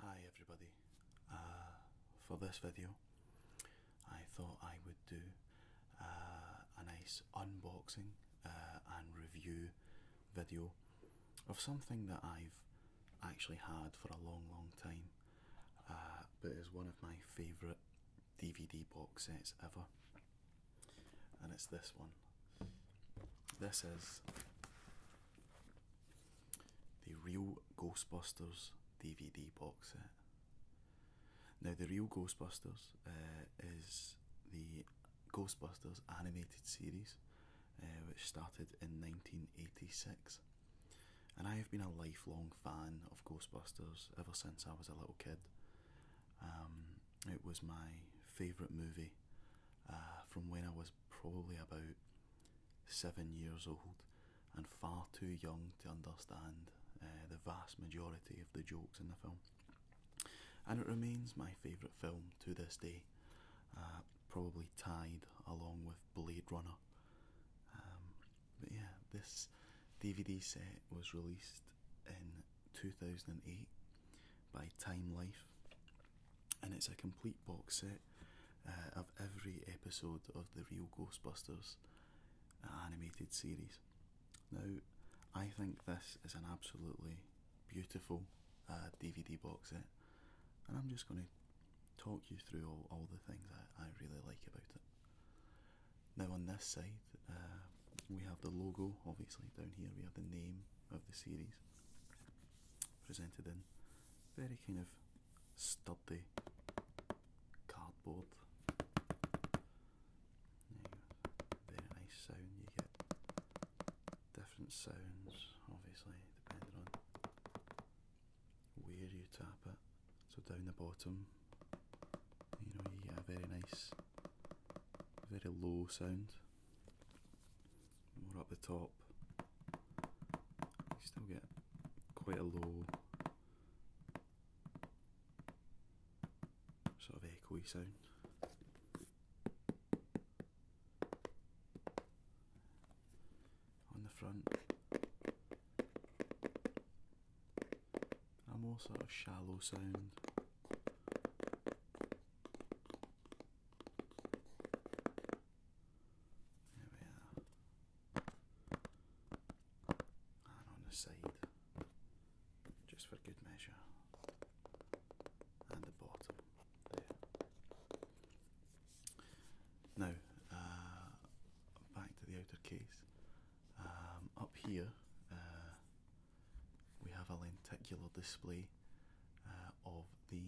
Hi everybody, uh, for this video I thought I would do uh, a nice unboxing uh, and review video of something that I've actually had for a long long time but is one of my favourite DVD box sets ever and it's this one. This is the Real Ghostbusters DVD box set. Now, The Real Ghostbusters uh, is the Ghostbusters animated series uh, which started in 1986. And I have been a lifelong fan of Ghostbusters ever since I was a little kid. Um, it was my favourite movie uh, from when I was probably about seven years old and far too young to understand uh, the vast majority of the jokes in the film. And it remains my favourite film to this day, uh, probably tied along with Blade Runner. Um, but yeah, this DVD set was released in 2008 by Time Life, and it's a complete box set uh, of every episode of the Real Ghostbusters animated series. Now, I think this is an absolutely beautiful DVD uh, box set, and I'm just going to talk you through all, all the things I, really like about it. Now, on this side, uh, we have the logo, obviously, down here, we have the name of the series presented in very kind of sturdy cardboard. Very nice sound. You get different sounds, obviously, depending on where you tap it. So down the bottom, you know, you get a very nice, very low sound more up the top. You still get quite a low sort of echoey sound. On the front, a more sort of shallow sound. There we are. And on the side, just for good measure. And the bottom, Now, uh, back to the outer case. Um, up here, uh, we have a lenticular display uh, of the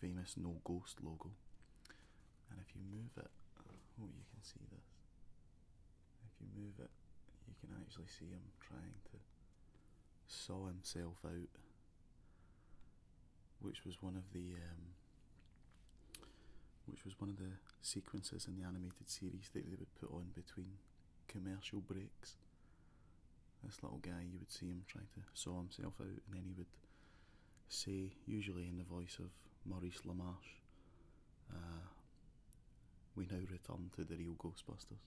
famous No Ghost logo. And if you move it, oh, you can see this. If you move it, you can actually see him trying to saw himself out, which was one of the um, which was one of the sequences in the animated series that they would put on between commercial breaks. This little guy, you would see him trying to saw himself out, and then he would say, usually in the voice of Maurice LaMarche, uh, we now return to the real Ghostbusters.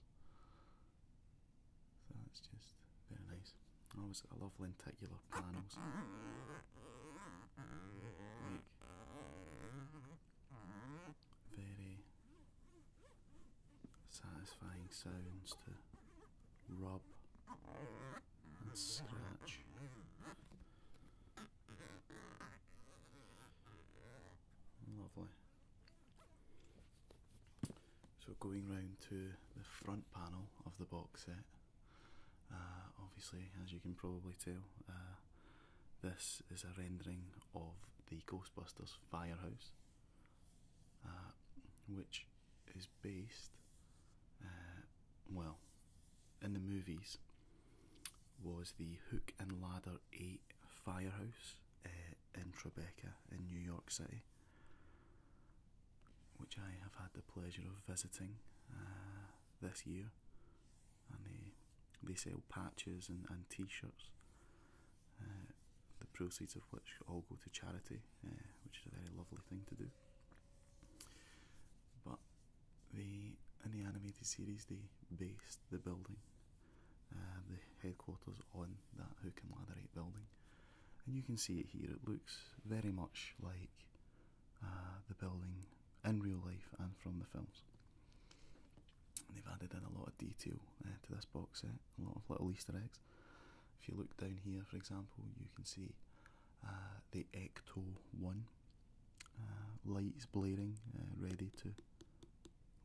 that's just very nice. I always I love lenticular panels. very satisfying sounds to rub and scratch. Lovely. So going round to the front panel of the box set, uh, obviously as you can probably tell, uh, this is a rendering of the Ghostbusters firehouse. Uh, which is based, uh, well, in the movies, was the Hook and Ladder 8 firehouse uh, in Tribeca in New York City, which I have had the pleasure of visiting this year. And they, they sell patches and, and t shirts uh, the proceeds of which all go to charity, uh, which is a very lovely thing to do. But they, in the animated series, they based the building, uh, the headquarters, on that Who Can Latherate building. And you can see it here, it looks very much like the building in real life and from the films they've added in a lot of detail uh, to this box set, a lot of little Easter eggs. If you look down here, for example, you can see uh, the Ecto 1 uh, lights blaring, uh, ready to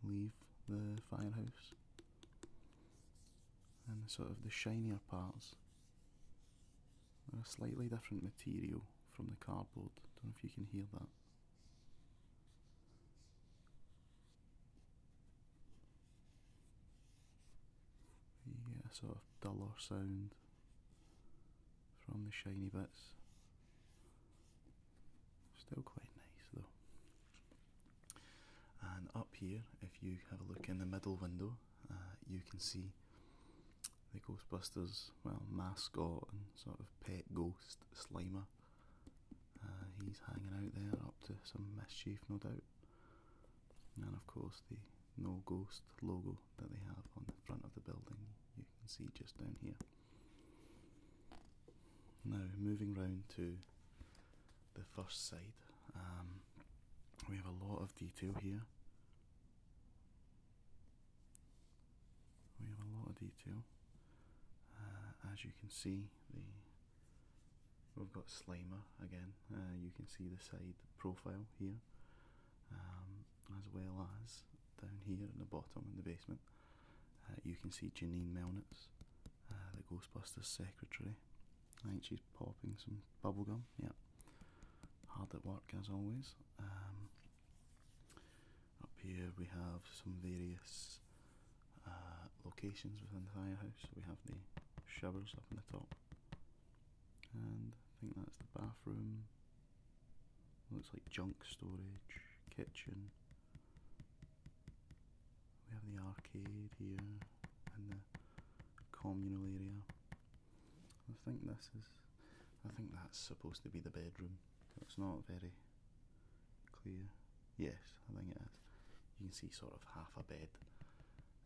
leave the firehouse. And sort of the shinier parts are a slightly different material from the cardboard. Don't know if you can hear that. You get a sort of duller sound from the shiny bits. Still quite nice though. And up here, if you have a look in the middle window, uh, you can see the Ghostbusters, well, mascot and sort of pet ghost Slimer uh, he's hanging out there up to some mischief, no doubt. And of course, the no ghost logo that they have on the front of the building you can see just down here. Now, moving round to the first side, um, we have a lot of detail here. We have a lot of detail. Uh, as you can see, we've got Slimer again. Uh, you can see the side profile here, um, as well as down here in the bottom in the basement. Uh, you can see Janine Melnitz, the Ghostbusters secretary. I think she's popping some bubblegum, Yep, Hard at work as always. Um, up here we have some various uh, locations within the firehouse. we have the showers up in the top, and I think that's the bathroom. Looks like junk storage, kitchen. We have the arcade here and the communal area. I think this is. I think that's supposed to be the bedroom. It's not very clear. Yes, I think it is. You can see sort of half a bed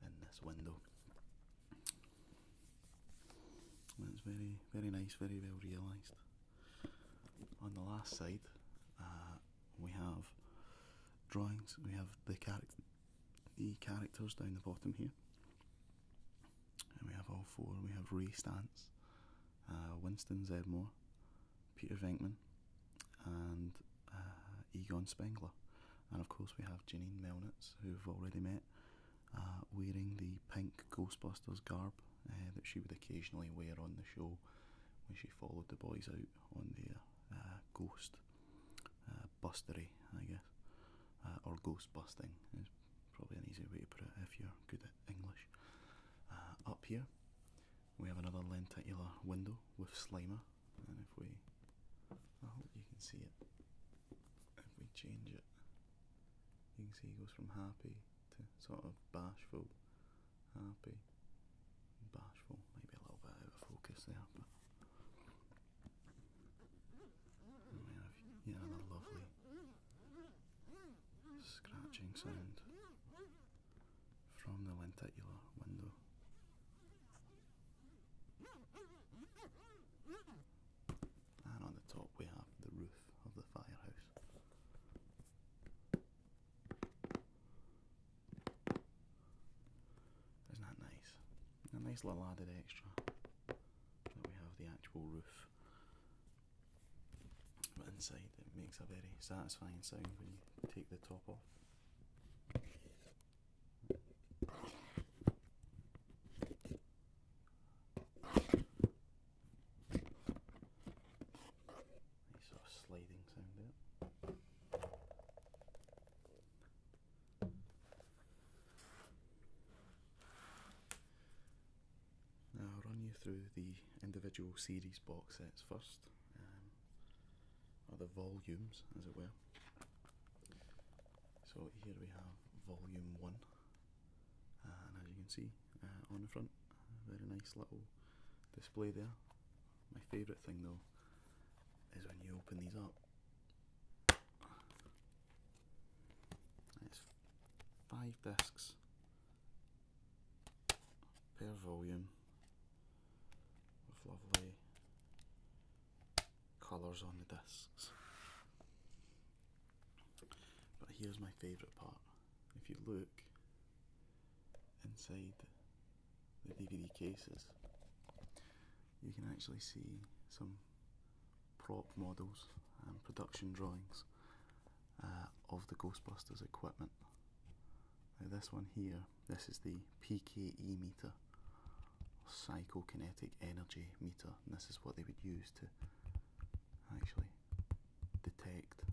in this window. And it's very, very nice, very well realised. On the last side, uh, we have drawings. We have the character, the characters down the bottom here, we have all four. We have Ray Stantz, uh, Winston Zedmore, Peter Venkman, and uh, Egon Spengler. And of course, we have Janine Melnitz, who we've already met, uh, wearing the pink Ghostbusters garb uh, that she would occasionally wear on the show when she followed the boys out on their ghost bustery, I guess, or ghost busting is probably an easy way to put it if you're good at English. up here, we have another lenticular window with Slimer, and if we, I hope you can see it. If we change it, you can see he goes from happy to sort of bashful, happy, bashful. Maybe a little bit out of focus there, but. Yeah, another lovely scratching sound from the lenticular window. And on the top we have the roof of the firehouse. Isn't that nice? A nice little added extra that we have the actual roof but inside it makes a very satisfying sound when you take the top off. Nice sort of sliding sound there. Now I'll run you through the individual series box sets first, um, or the volumes as it were. So here we have volume 1, and as you can see uh, on the front, very nice little display there. My favourite thing though is when you open these up. It's five discs Pair volume with lovely colours on the discs. But here's my favourite part. If you look inside the DVD cases, you can actually see some prop models and production drawings uh, of the Ghostbusters equipment. Now, this one here, this is the PKE meter, psychokinetic energy meter, and this is what they would use to actually detect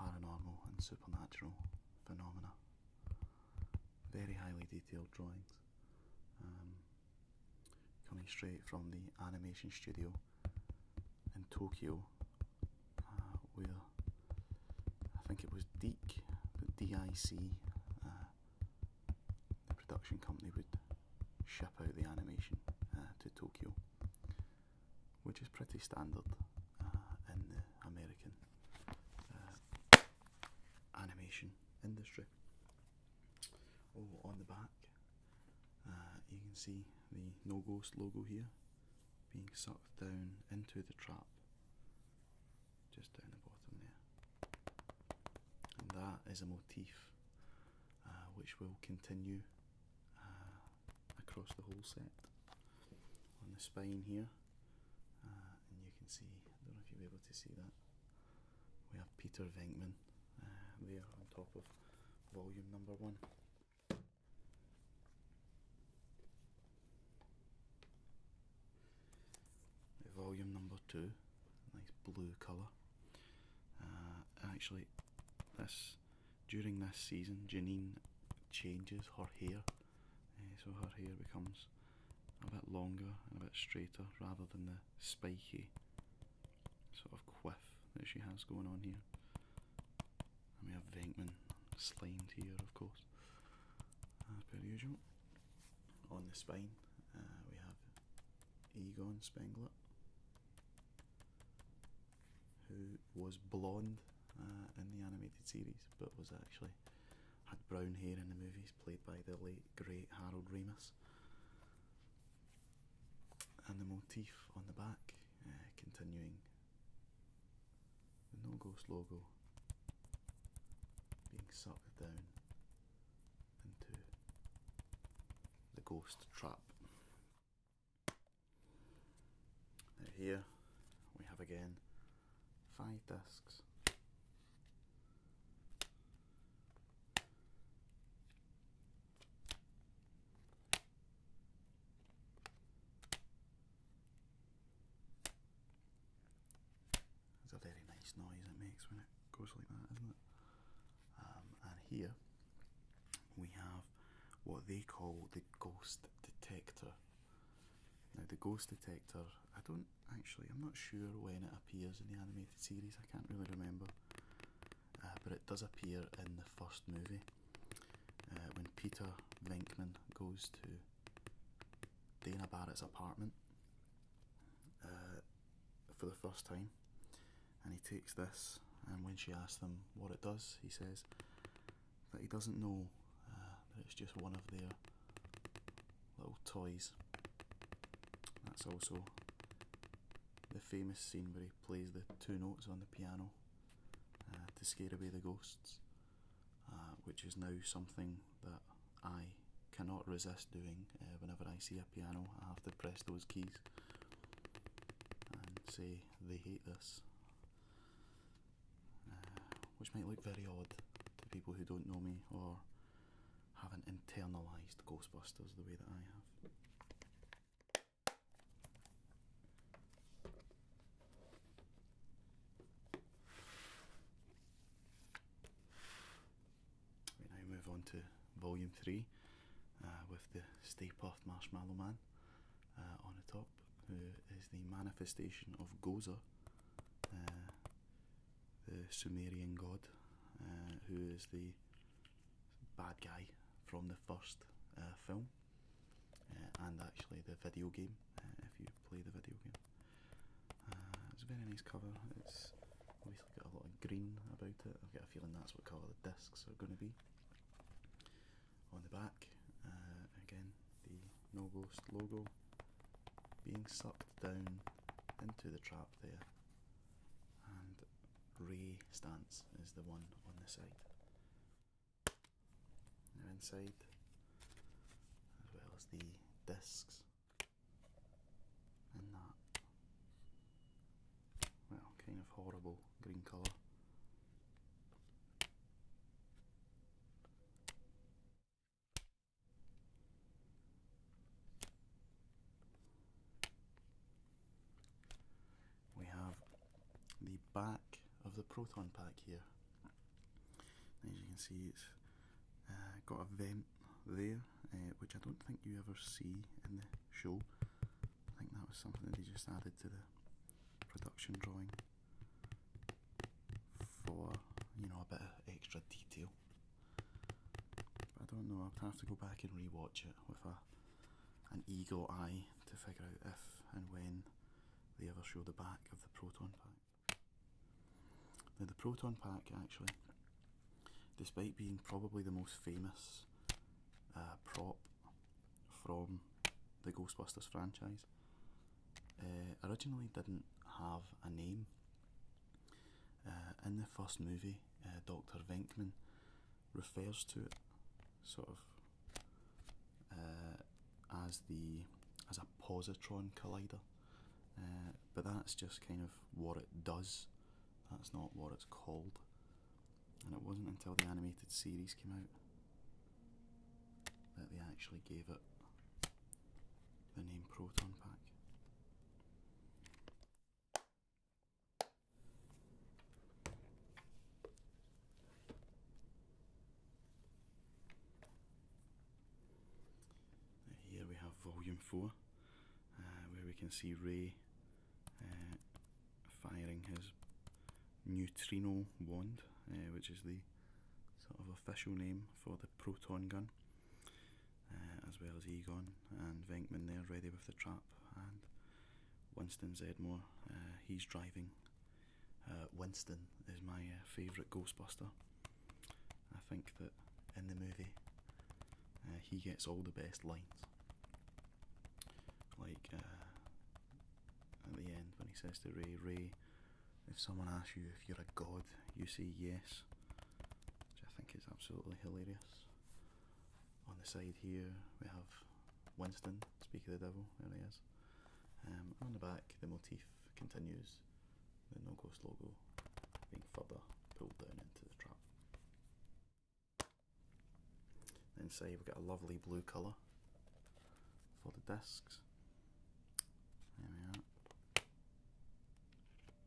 paranormal and supernatural phenomena. Very highly detailed drawings. Um, Coming straight from the animation studio in Tokyo, uh, where I think it was Deek, the DIC, uh, the production company would ship out the animation uh, to Tokyo, which is pretty standard in the American animation industry. Oh, on the back uh, you can see the No Ghost logo here being sucked down into the trap just down the bottom there. And that is a motif uh, which will continue uh, across the whole set. On the spine here, and you can see, I don't know if you'll be able to see that, we have Peter Venkman uh, there on top of volume number one. Volume number two, nice blue colour. Uh, actually, this during this season, Janine changes her hair, uh, so her hair becomes a bit longer and a bit straighter rather than the spiky sort of quiff that she has going on here. we have Venkman slimed here, of course, as uh, per usual. On the spine, uh, we have Egon Spengler, who was blonde uh, in the animated series, but was actually had brown hair in the movies, played by the late great Harold Ramis and the motif on the back, uh, continuing the No Ghost logo being sucked down into the ghost trap. here we have again five discs it's a very nice noise it makes when it goes like that, isn't it? Um, and here we have what they call the ghost detector. Now, the ghost detector, I don't actually, I'm not sure when it appears in the animated series, I can't really remember. Uh, but it does appear in the first movie uh, when Peter Linkman goes to Dana Barrett's apartment uh, for the first time, and he takes this. And when she asks him what it does, he says that he doesn't know that it's just one of their little toys. That's also the famous scene where he plays the two notes on the piano uh, to scare away the ghosts, uh, which is now something that I cannot resist doing uh, whenever I see a piano. I have to press those keys and say they hate this, which might look very odd to people who don't know me or haven't internalized Ghostbusters the way that I have. We now move on to volume three uh, with the Stay Puft Marshmallow Man uh, on the top, who is the manifestation of Gozer. Uh, the Sumerian god, uh, who is the bad guy from the first uh, film, uh, and actually the video game. if you play the video game, it's a very nice cover. It's obviously got a lot of green about it. I've got a feeling that's what colour the discs are going to be. On the back, again, the No Ghost logo being sucked down into the trap there and Ray Stance is the one on the side. Now inside, as well as the discs and that, well, kind of horrible green colour. We have the back of the proton pack here. As you can see, it's uh, got a vent there, uh, which I don't think you ever see in the show. I think that was something that they just added to the production drawing for you know a bit of extra detail. I don't know. I'd have to go back and rewatch it with an eagle eye to figure out if and when they ever show the back of the proton pack. Now the proton pack actually, despite being probably the most famous uh, prop from the Ghostbusters franchise, uh, originally didn't have a name. Uh, in the first movie, uh, Dr. Venkman refers to it sort of uh, as the as a positron collider, but that's just kind of what it does. That's not what it's called, and it wasn't until the animated series came out that they actually gave it the name proton pack. Here we have volume 4, uh, where we can see Ray uh, firing his neutrino wand, uh, which is the sort of official name for the proton gun. Uh, as well as Egon and Venkman they're ready with the trap, and Winston Zedmore, uh, he's driving. Uh, Winston is my uh, favourite Ghostbuster. I think that in the movie he gets all the best lines. Like at the end when he says to Ray, Ray, if someone asks you if you're a god, you say yes which I think is absolutely hilarious. On the side here we have Winston, speaker of the Devil, there he is. Um, on the back, the motif continues, the No Ghost logo being further pulled down into the trap. Inside we've got a lovely blue colour for the discs. There we are.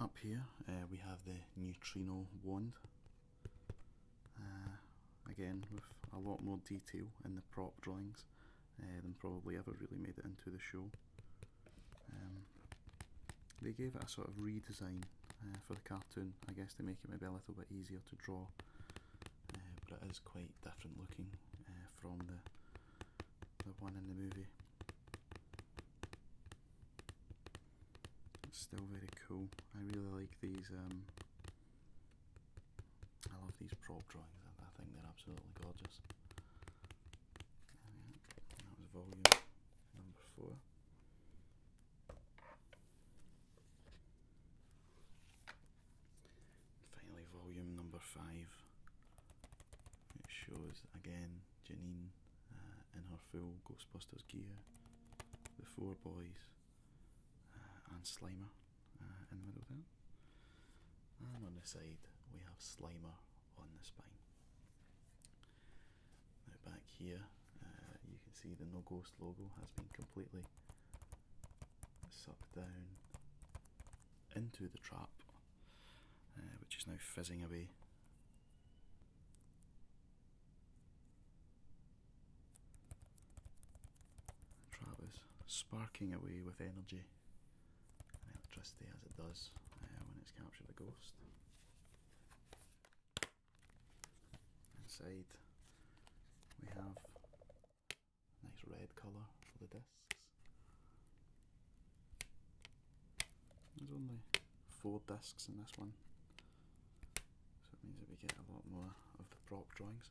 up here uh, we have the neutrino wand uh, again with a lot more detail in the prop drawings uh, than probably ever really made it into the show um, they gave it a sort of redesign for the cartoon I guess to make it maybe a little bit easier to draw but it is quite different looking from the one in the movie Still very cool. I really like these. Um, I love these prop drawings. I, I think they're absolutely gorgeous. That was volume number four. Finally, volume number five. It shows again Janine in uh, her full Ghostbusters gear, the four boys, uh, and Slimer uh, in the middle there. And on the side, we have Slimer on the spine. Now, back here, you can see the No Ghost logo has been completely sucked down into the trap, which is now fizzing away Trap is sparking away with energy and electricity as it does uh, when it's captured a ghost. Inside we have nice red colour for the discs there's only four discs in this one, so it means that we get a lot more of the prop drawings.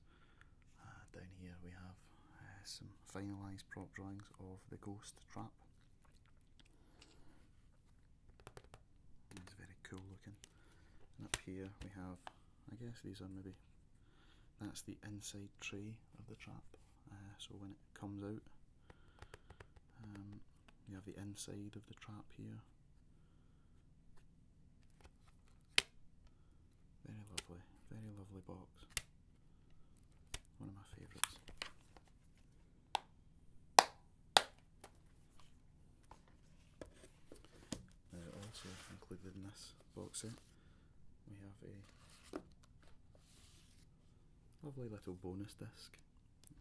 Uh, down here we have uh, some finalised prop drawings of the ghost trap. It's very cool looking. And up here we have, I guess these are maybe, that's the inside tray of the trap. Uh, so when it comes out um, you have the inside of the trap here very lovely, very lovely box one of my favourites also included in this box set we have a lovely little bonus disc.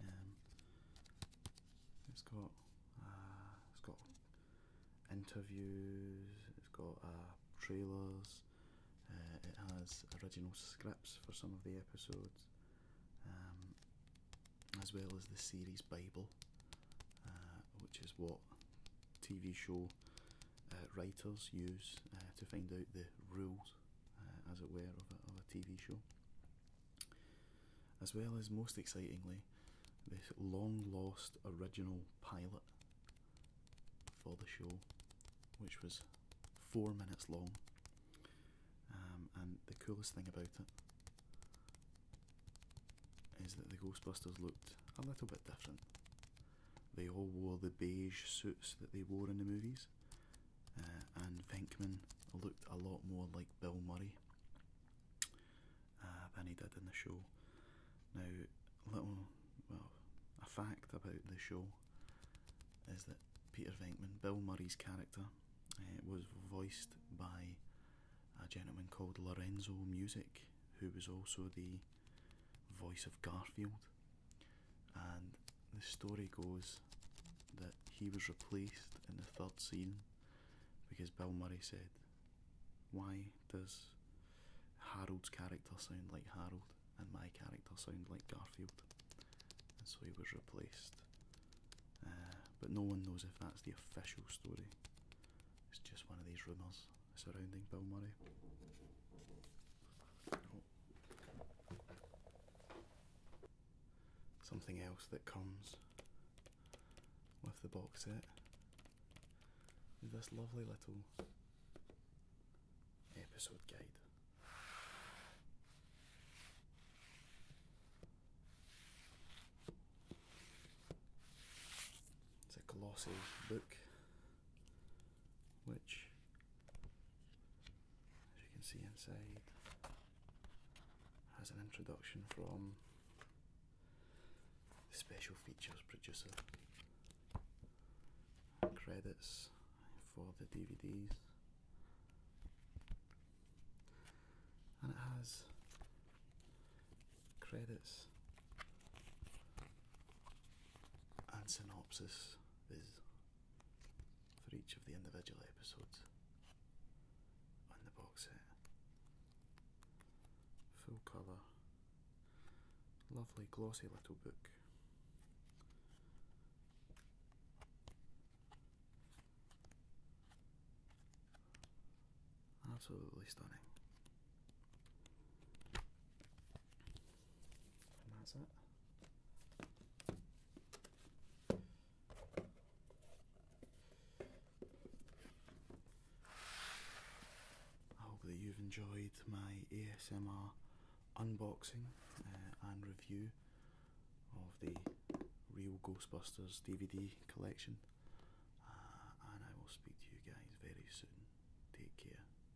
Um, it's got uh, it's got interviews. It's got uh, trailers. Uh, it has original scripts for some of the episodes, um, as well as the series Bible, which is what TV show writers use to find out the rules uh, as it were, of a, TV show. As well as, most excitingly, this long lost original pilot for the show, which was four minutes long. Um, and the coolest thing about it is that the Ghostbusters looked a little bit different. They all wore the beige suits that they wore in the movies, uh, and Venkman looked a lot more like Bill Murray uh, than he did in the show. Now, little well, a fact about the show is that Peter Venkman, Bill Murray's character, uh, was voiced by a gentleman called Lorenzo Music, who was also the voice of Garfield and the story goes that he was replaced in the third scene because Bill Murray said, Why does Harold's character sound like Harold and my character sound like Garfield? And so he was replaced. Uh, but no one knows if that's the official story. It's just one of these rumours surrounding Bill Murray something else that comes with the box set is this lovely little episode guide. It's a glossy book which, as you can see inside, has an introduction from the special features producer credits for the DVDs and it has credits and synopsis is for each of the individual episodes on the box set. Full colour, lovely glossy little book. Absolutely stunning that's it. I hope that you've enjoyed my ASMR unboxing uh, and review of the Real Ghostbusters DVD collection. Uh, and I will speak to you guys very soon. Take care.